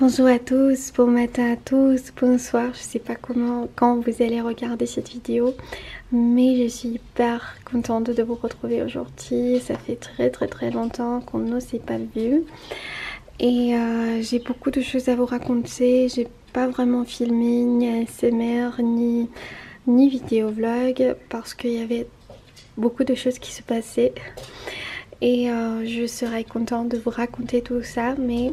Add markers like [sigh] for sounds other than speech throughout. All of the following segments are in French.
Bonjour à tous, bon matin à tous, bonsoir, je sais pas comment, quand vous allez regarder cette vidéo mais je suis hyper contente de vous retrouver aujourd'hui, ça fait très très très longtemps qu'on ne s'est pas vu et euh, j'ai beaucoup de choses à vous raconter, j'ai pas vraiment filmé ni ASMR ni, ni vidéo vlog parce qu'il y avait beaucoup de choses qui se passaient et euh, je serai contente de vous raconter tout ça mais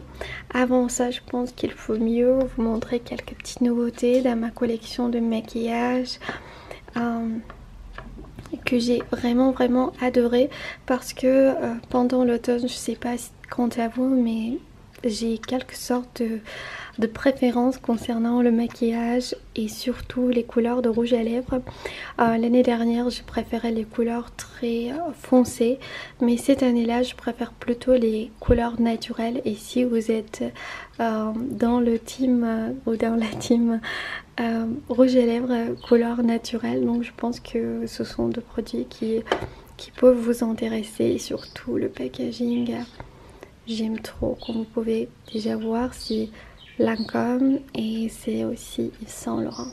avant ça je pense qu'il faut mieux vous montrer quelques petites nouveautés dans ma collection de maquillage euh, que j'ai vraiment vraiment adoré parce que euh, pendant l'automne je sais pas quant à vous mais j'ai quelques sortes de, préférences concernant le maquillage et surtout les couleurs de rouge à lèvres. L'année dernière, je préférais les couleurs très euh, foncées mais cette année là je préfère plutôt les couleurs naturelles et si vous êtes euh, dans le team euh, ou dans la team rouge à lèvres couleur naturelle donc je pense que ce sont deux produits qui, qui peuvent vous intéresser surtout le packaging j'aime trop comme vous pouvez déjà voir si Lancôme et c'est aussi Saint Laurent.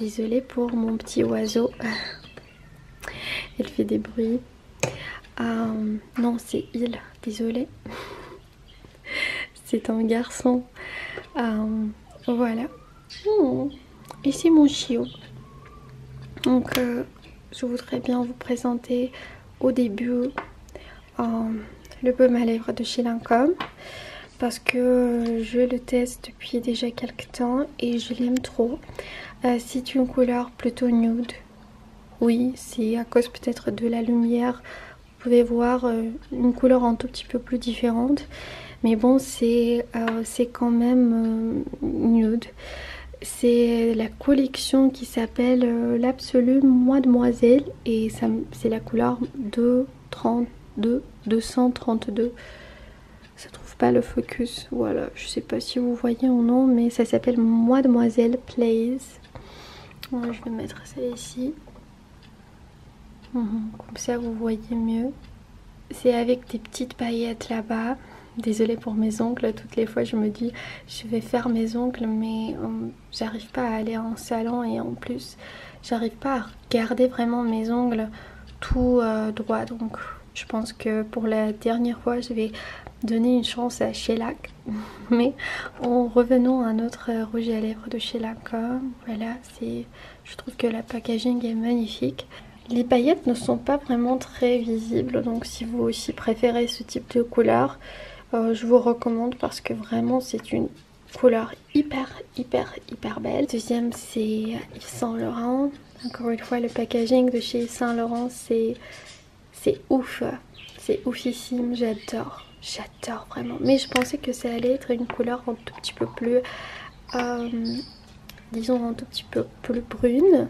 Désolée pour mon petit oiseau, [laughs] elle fait des bruits. Euh, non, c'est il, désolée. [laughs] c'est un garçon. Euh, voilà. Oh, et c'est mon chiot. Donc, euh, je voudrais bien vous présenter au début le baume à lèvres de chez Lancôme parce que je le teste depuis déjà quelques temps et je l'aime trop. Euh, c'est une couleur plutôt nude. Oui, c'est à cause peut-être de la lumière. Vous pouvez voir euh, une couleur un tout petit peu plus différente. Mais bon, c'est euh, quand même nude. C'est la collection qui s'appelle l'absolu Mademoiselle et c'est la couleur de 32, 232. Ça trouve pas le focus. Voilà, je sais pas si vous voyez ou non, mais ça s'appelle Mademoiselle Place, je vais mettre ça ici. Mhm, comme ça, vous voyez mieux. C'est avec des petites paillettes là-bas. Désolée pour mes ongles, toutes les fois je me dis je vais faire mes ongles mais hum, j'arrive pas à aller en salon et en plus j'arrive pas à garder vraiment mes ongles tout euh, droit donc je pense que pour la dernière fois je vais donner une chance à Shellac [laughs] mais en revenant à notre euh, rouge à lèvres de chez voilà c'est je trouve que la packaging est magnifique les paillettes ne sont pas vraiment très visibles donc si vous aussi préférez ce type de couleur euh, je vous recommande parce que vraiment c'est une couleur hyper hyper hyper belle. Deuxième c'est Yves Saint Laurent. Encore une fois le packaging de chez Saint Laurent c'est c'est ouf. C'est oufissime, j'adore. J'adore vraiment. Mais je pensais que ça allait être une couleur un tout petit peu plus... Euh, disons un tout petit peu plus brune.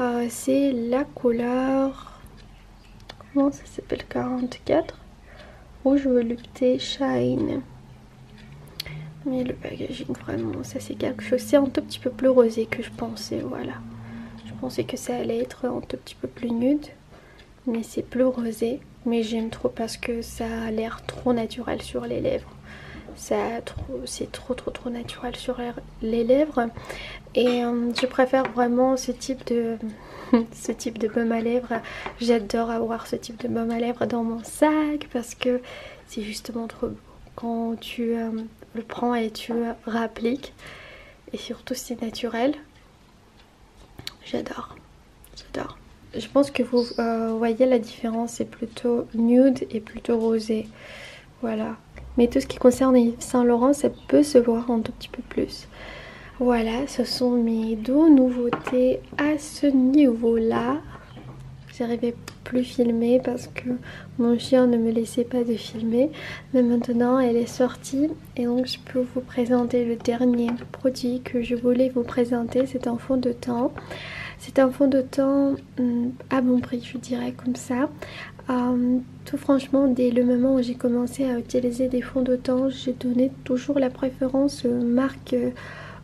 Euh, c'est la couleur Comment ça s'appelle 44 Rouge volupté shine. Mais le packaging vraiment ça c'est quelque chose. C'est un tout petit peu plus rosé que je pensais. Voilà. Je pensais que ça allait être un tout petit peu plus nude. Mais c'est plus rosé. Mais j'aime trop parce que ça a l'air trop naturel sur les lèvres ça c'est trop trop trop naturel sur les lèvres et euh, je préfère vraiment ce type de [laughs] ce type de baume à lèvres. J'adore avoir ce type de baume à lèvres dans mon sac parce que c'est justement trop beau. Quand tu euh, le prends et tu le réappliques, et surtout c'est naturel, j'adore. J'adore. Je pense que vous euh, voyez la différence, c'est plutôt nude et plutôt rosé. Voilà. Mais tout ce qui concerne Saint Laurent, ça peut se voir un tout petit peu plus. Voilà, ce sont mes deux nouveautés à ce niveau-là. J'arrivais plus filmer parce que mon chien ne me laissait pas de filmer. Mais maintenant, elle est sortie et donc je peux vous présenter le dernier produit que je voulais vous présenter. C'est un fond de teint. C'est un fond de teint hum, à bon prix, je dirais comme ça. Hum, tout franchement, dès le moment où j'ai commencé à utiliser des fonds de teint, j'ai donné toujours la préférence euh, marque euh,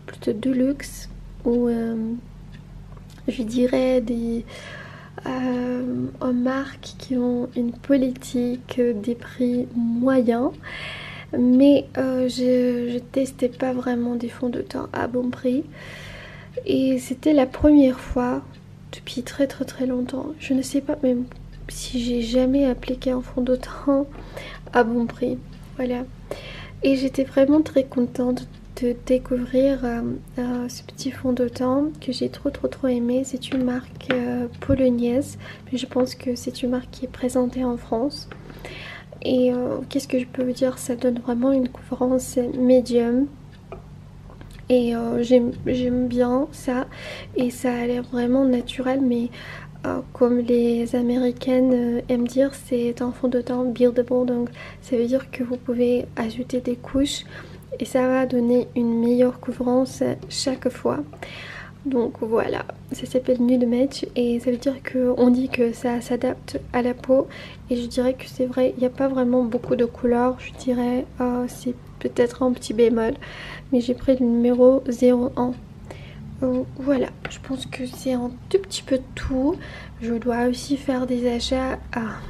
plutôt de luxe ou euh, je dirais des marques qui ont une politique des prix moyens mais je, je, testais pas vraiment des fonds de teint à bon prix et c'était la première fois depuis très très très longtemps je ne sais pas même si j'ai jamais appliqué un fond d'autant à bon prix. Voilà. Et j'étais vraiment très contente de découvrir euh, euh, ce petit fond de que j'ai trop trop trop aimé. C'est une marque euh, polonaise, mais je pense que c'est une marque qui est présentée en France. Et qu'est-ce que je peux vous dire Ça donne vraiment une couvrance médium. Et j'aime bien ça et ça a l'air vraiment naturel mais euh, comme les américaines euh, aiment dire c'est un fond de teint buildable donc ça veut dire que vous pouvez ajouter des couches et ça va donner une meilleure couvrance chaque fois donc voilà ça s'appelle nude match et ça veut dire qu'on dit que ça s'adapte à la peau et je dirais que c'est vrai il n'y a pas vraiment beaucoup de couleurs je dirais euh, peut-être un petit bémol. Mais j'ai pris le numéro 01. voilà, je pense que c'est un tout petit peu tout. Je dois aussi faire des achats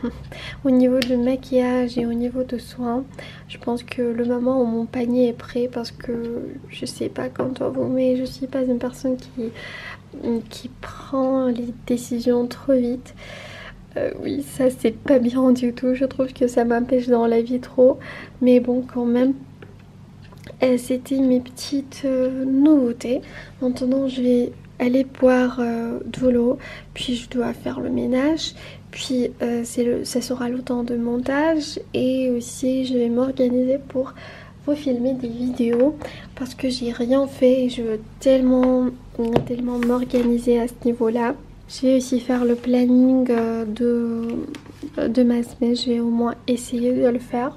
[laughs] au niveau de maquillage et au niveau de soins. Je pense que le moment où mon panier est prêt parce que je sais pas quand on vous mais je suis pas une personne qui, prend les décisions trop vite. Euh, oui, ça c'est pas bien du tout. Je trouve que ça m'empêche dans la vie trop. Mais bon, quand même, euh, c'était mes petites euh, nouveautés. Maintenant, je vais aller boire euh, de l'eau, puis je dois faire le ménage. Puis ça sera le temps de montage et aussi je vais m'organiser pour vous filmer des vidéos parce que j'ai rien fait et je veux tellement, tellement m'organiser à ce niveau-là. J'ai aussi faire le planning euh, de, euh, de ma semaine, vais au moins essayer de le faire.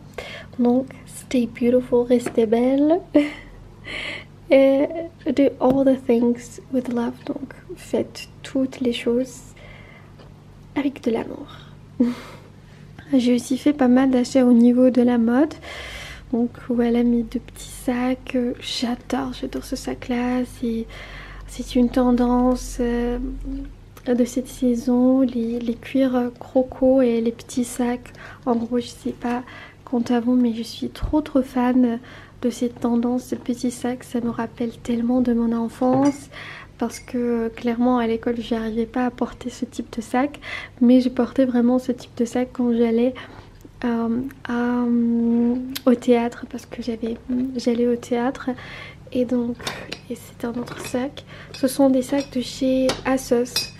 Donc, stay beautiful, restez belle. [laughs] Et do all the things with love. Donc, faites toutes les choses avec de l'amour. [laughs] j'ai aussi fait pas mal d'achats au niveau de la mode. Donc, voilà mes deux petits sacs. Euh, j'adore, j'adore ce sac-là c'est une tendance euh, de cette saison, les, cuirs euh, croco et les petits sacs. En gros, je sais pas quant à mais je suis trop trop fan de cette tendance de petits sacs. Ça me rappelle tellement de mon enfance parce que euh, clairement à l'école, je n'arrivais pas à porter ce type de sac, mais je portais vraiment ce type de sac quand j'allais euh, au théâtre parce que j'avais j'allais au théâtre et donc et c'est un autre sac ce sont des sacs de chez Asos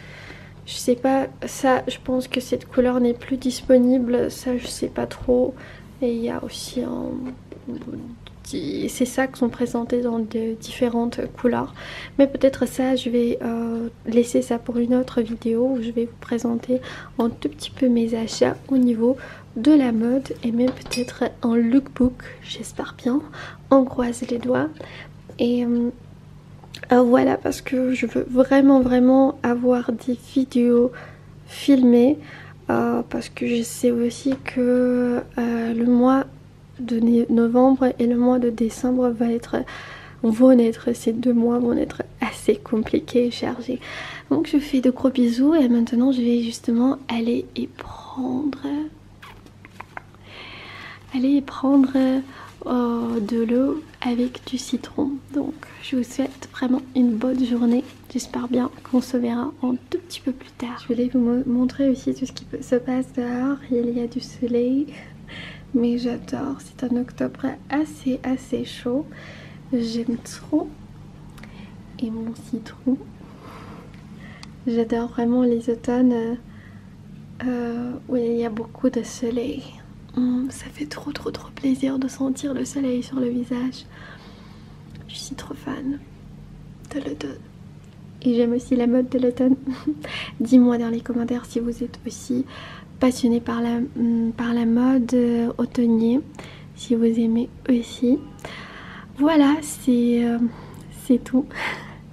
je sais pas ça je pense que cette couleur n'est plus disponible ça je sais pas trop et il y a aussi ces sacs sont présentés dans différentes couleurs mais peut-être ça je vais euh, laisser ça pour une autre vidéo où je vais vous présenter un tout petit peu mes achats au niveau de la mode et même peut-être un lookbook, j'espère bien, En croise les doigts. Et euh, euh, voilà, parce que je veux vraiment, vraiment avoir des vidéos filmées, euh, parce que je sais aussi que le mois de novembre et le mois de décembre va être, vont être, ces deux mois vont être assez compliqué et chargé. Donc je fais de gros bisous et maintenant je vais justement aller et prendre aller et prendre euh, de l'eau avec du citron. Donc je vous souhaite vraiment une bonne journée. J'espère bien qu'on se verra un tout petit peu plus tard. Je voulais vous montrer aussi tout ce qui se passe dehors. Il y a du soleil, [laughs] mais j'adore. C'est un octobre assez assez chaud. J'aime trop et mon citron. J'adore vraiment les automnes euh, euh, où il y a beaucoup de soleil. Hum, ça fait trop trop trop plaisir de sentir le soleil sur le visage. Je suis trop fan de l'automne. Et j'aime aussi la mode de l'automne. [laughs] Dis-moi dans les commentaires si vous êtes aussi passionné par la, hum, mode euh, automnale si vous aimez aussi. Voilà, c'est euh, tout.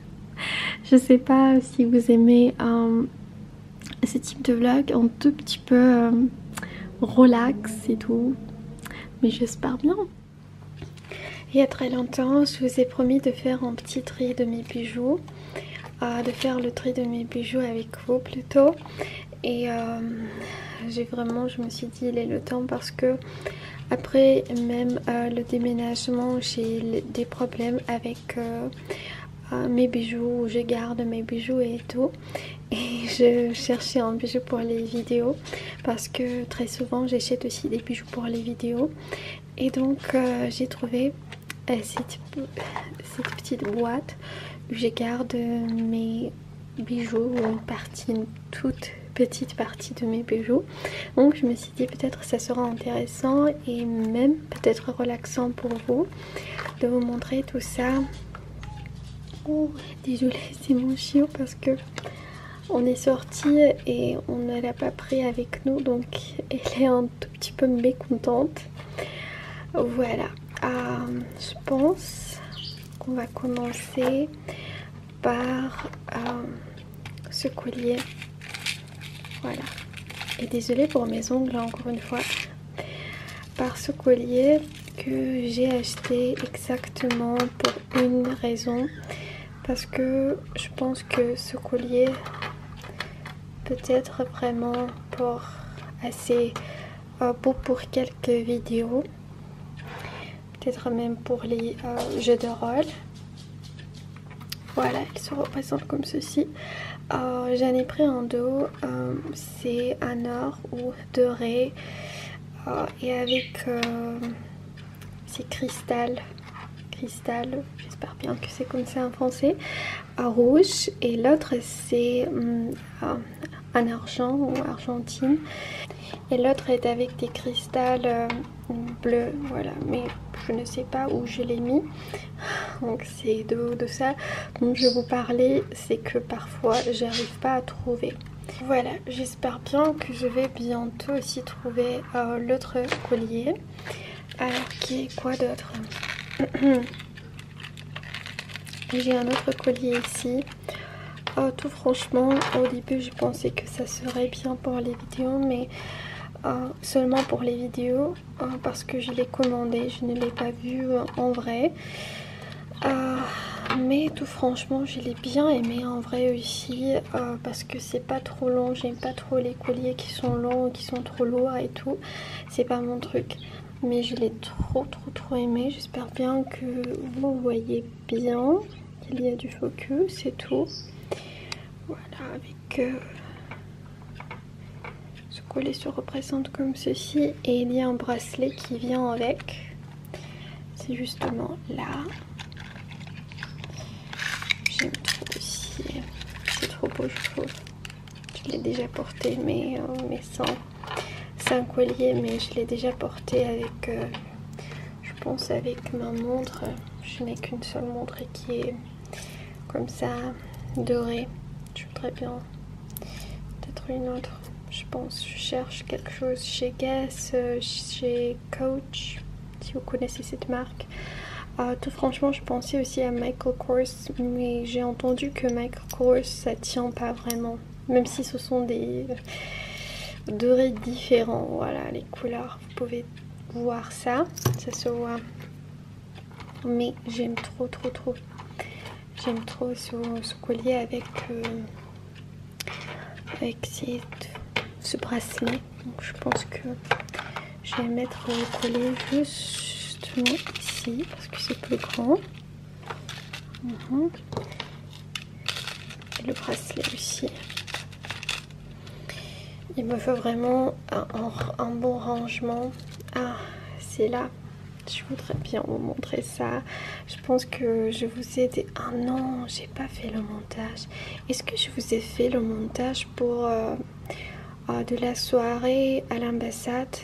[laughs] je sais pas si vous aimez euh, ce type de vlog, un tout petit peu euh, relax et tout, mais j'espère bien. Il y a très longtemps, je vous ai promis de faire un petit tri de mes bijoux, de faire le tri de mes bijoux avec vous plutôt et euh, j'ai vraiment je me suis dit il est le temps parce que après même euh, le déménagement j'ai des problèmes avec euh, mes bijoux je garde mes bijoux et tout et [laughs] je cherchais un bijou pour les vidéos parce que très souvent j'achète aussi des bijoux pour les vidéos et donc j'ai trouvé cette petite boîte je garde euh, mes bijoux une partie, toute petite partie de mes bijoux. Donc je me suis dit peut-être ça sera intéressant et même peut-être relaxant pour vous de vous montrer tout ça. Oh, désolée, [laughs] c'est mon chiot parce que on est sorti et on ne l'a pas pris avec nous donc elle est un tout petit peu mécontente. Voilà, euh, je pense qu'on va commencer par euh, ce collier. Voilà. Et désolée pour mes ongles hein, encore une fois. Par ce collier que j'ai acheté exactement pour une raison. Parce que je pense que ce collier peut être vraiment pour assez euh, pour, quelques vidéos peut-être même pour les euh, jeux de rôle voilà ils se représentent comme ceci euh, j'en ai pris un dos c'est un or ou doré et avec ces cristals cristal j'espère bien que c'est comme ça en français rouge et l'autre c'est hum, en argent ou argentine et l'autre est avec des cristals euh, bleus voilà mais je ne sais pas où je l'ai mis donc c'est de, ça dont je vous parlais c'est que parfois j'arrive pas à trouver voilà j'espère bien que je vais bientôt aussi trouver euh, l'autre collier alors qui quoi d'autre [clears throat] J'ai un autre collier ici. Oh, tout franchement, au début, je pensais que ça serait bien pour les vidéos, mais euh, seulement pour les vidéos, euh, parce que je l'ai commandé, je ne l'ai pas vu euh, en vrai. mais tout franchement, je l'ai bien aimé en vrai aussi, parce que c'est pas trop long, j'aime pas trop les colliers qui sont longs, qui sont trop lourds et tout. C'est pas mon truc mais je l'ai trop trop trop aimé j'espère bien que vous voyez bien qu'il y a du focus c'est tout voilà avec euh, ce collet se représente comme ceci et il y a un bracelet qui vient avec c'est justement là j'aime trop aussi c'est trop beau je trouve je l'ai déjà porté, mais, euh, sans. collier, mais je l'ai déjà porté avec, euh, je pense, avec ma montre. Je n'ai qu'une seule montre qui est comme ça, dorée. Je voudrais bien peut-être une autre. Je pense, je cherche quelque chose chez Guess, euh, chez Coach, si vous connaissez cette marque. tout franchement, je pensais aussi à Michael Kors, mais j'ai entendu que Michael course, ça tient pas vraiment. Même si ce sont des dorés différents, voilà, les couleurs, vous pouvez voir ça, ça se voit. Mais j'aime trop, trop, trop. J'aime trop ce, ce, collier avec, euh, avec ce bracelet. Donc je pense que je vais mettre le collier juste ici parce que c'est plus grand. Mhm. le bracelet aussi. Il me faut vraiment un, bon rangement. Ah, c'est là. Je voudrais bien vous montrer ça. Je pense que je vous ai été Ah non, j'ai pas fait le montage. Est-ce que je vous ai fait le montage pour... Euh, euh, de la soirée à l'ambassade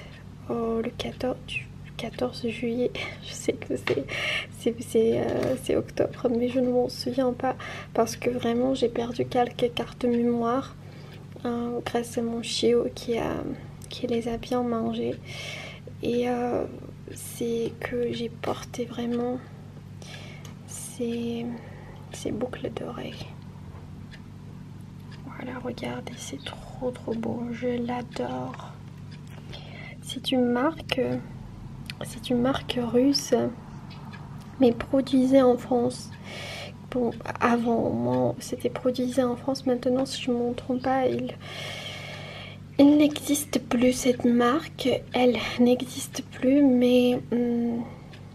Oh, le 14, juillet. [laughs] je sais que euh, c'est octobre, mais je ne m'en souviens pas parce que vraiment j'ai perdu quelques cartes mémoire hein, grâce à mon chiot qui, les a bien mangées. Et euh, c'est que j'ai porté vraiment ces, ces boucles d'oreilles. Voilà, regardez, c'est trop trop beau. Je l'adore. C'est une marque, c'est une marque russe, mais produisait en France. Bon, avant, c'était produisé en France. Maintenant, si je ne me trompe pas, il, n'existe plus cette marque. Elle n'existe plus, mais hum,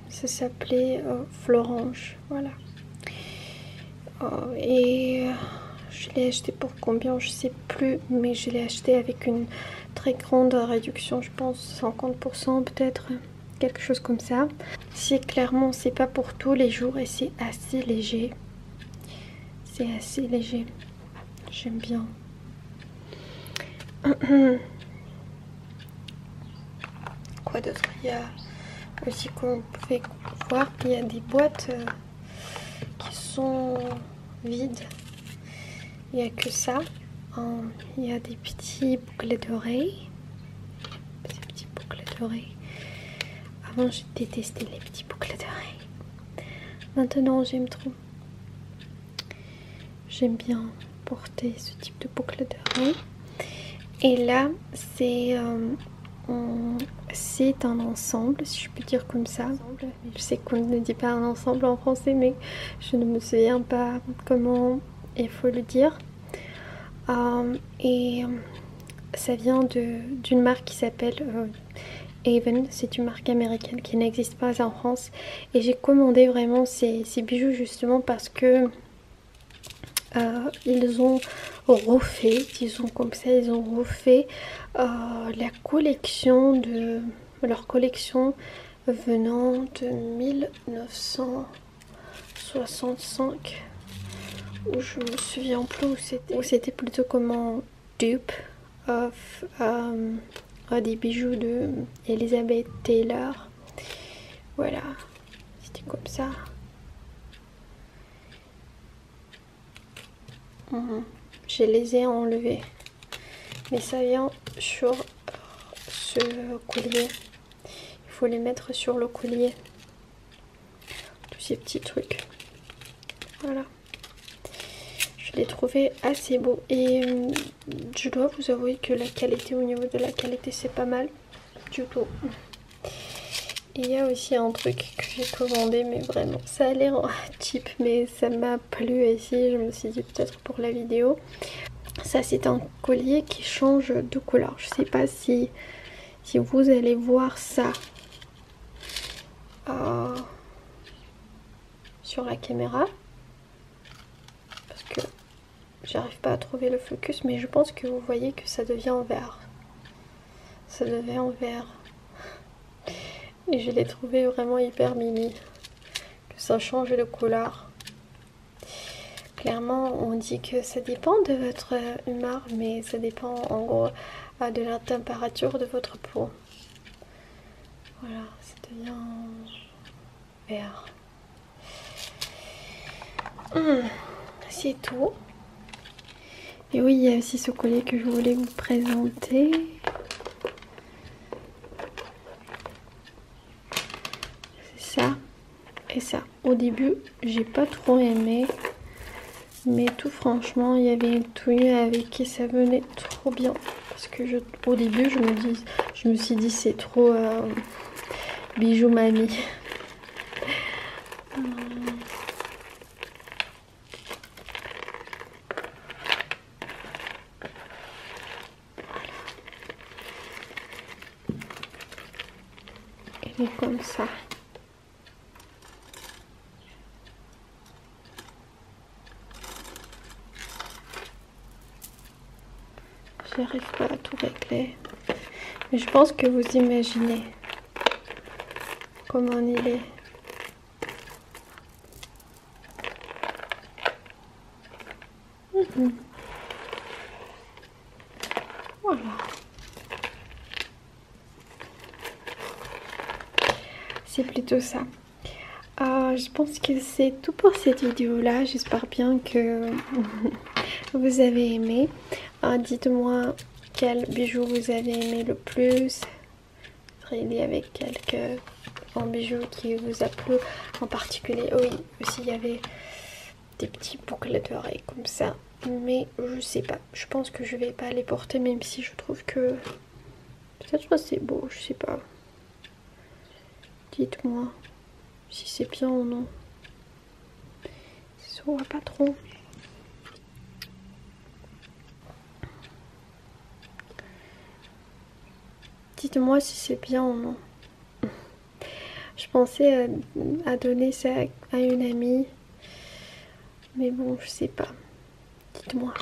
ça s'appelait euh, Florange, voilà. Euh, et euh, je l'ai acheté pour combien, je sais plus, mais je l'ai acheté avec une très grande réduction, je pense 50% peut-être, quelque chose comme ça. C'est clairement, c'est pas pour tous les jours et c'est assez léger. C'est assez léger. J'aime bien. [clears throat] Quoi d'autre Il y a aussi vous pouvez voir il y a des boîtes euh, qui sont vides. Il n'y a que ça. Hum, il y a des petits boucles d'oreilles. Ces petits boucles d'oreilles. Avant, j'ai détesté les petits boucles d'oreilles. Maintenant, j'aime trop. J'aime bien porter ce type de boucles d'oreilles. Et là, euh, c'est un ensemble, si je peux dire comme ça. Je sais qu'on ne dit pas un ensemble en français, mais je ne me souviens pas comment il faut le dire. Euh, et euh, ça vient d'une marque qui s'appelle Even. c'est une marque américaine qui n'existe pas en France. Et j'ai commandé vraiment ces, bijoux justement parce que euh, ils ont refait, disons comme ça, ils ont refait euh, la collection de leur collection venant de 1965 où je me souviens plus où c'était où c'était plutôt comment dupe of euh, des bijoux de Elizabeth Taylor voilà c'était comme ça. Mhm. Je les ai enlevés. Mais ça vient sur ce collier. Il faut les mettre sur le collier. Tous ces petits trucs. Voilà. Je les trouvé assez beau. Et euh, je dois vous avouer que la qualité au niveau de la qualité c'est pas mal. Du tout. il y a aussi un truc que j'ai commandé, mais vraiment, ça a l'air cheap, mais ça m'a plu ici, je me suis dit peut-être pour la vidéo. Ça, c'est un collier qui change de couleur. Je sais pas si, si vous allez voir ça euh, sur la caméra. Parce que J'arrive pas à trouver le focus, mais je pense que vous voyez que ça devient en vert. Ça devient en vert. Et je l'ai trouvé vraiment hyper mini. Que ça change de couleur. Clairement, on dit que ça dépend de votre humeur, mais ça dépend en gros de la température de votre peau. Voilà, ça devient Hum, c'est tout. Et oui, il y a aussi ce collier que je voulais vous présenter. C'est ça et ça. Au début, j'ai pas trop aimé. Mais tout franchement, il y avait une tenue avec qui ça venait trop bien. Parce que je, au début, je me, dis, je me suis dit c'est trop... Euh, Bijou mamie. et comme ça. J'arrive pas à tout régler. Mais je pense que vous imaginez comment il est. Mhm. Voilà. C'est plutôt ça. Ah, je pense que c'est tout pour cette vidéo là. J'espère bien que vous avez aimé. Euh, dites-moi quel bijou vous avez aimé le plus. Il y avait quelques en bijoux qui vous a plu en particulier. Oh oui, aussi il y avait des petits boucles d'oreilles comme ça. Mais je sais pas. Je pense que je vais pas les porter même si je trouve que peut-être c'est beau, je sais pas. Dites-moi si c'est bien ou non. Ça pas trop. Dites-moi si c'est bien ou non. Je pensais euh, à, donner ça à une amie. Mais bon, je sais pas. Dites-moi.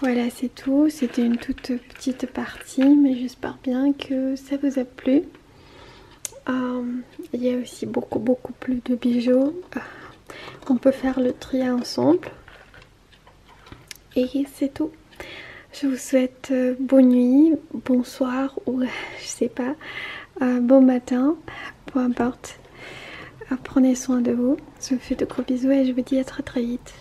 Voilà, c'est tout. C'était une toute petite partie, mais je j'espère bien que ça vous a plu. Euh, il y a aussi beaucoup beaucoup plus de bijoux. Euh, on peut faire le tri ensemble. Et c'est tout. Je vous souhaite euh, bonne nuit, bonsoir ou [laughs] je sais pas, bon matin, peu importe. Prenez soin de vous. Je vous fais de gros bisous et je vous dis à très très vite.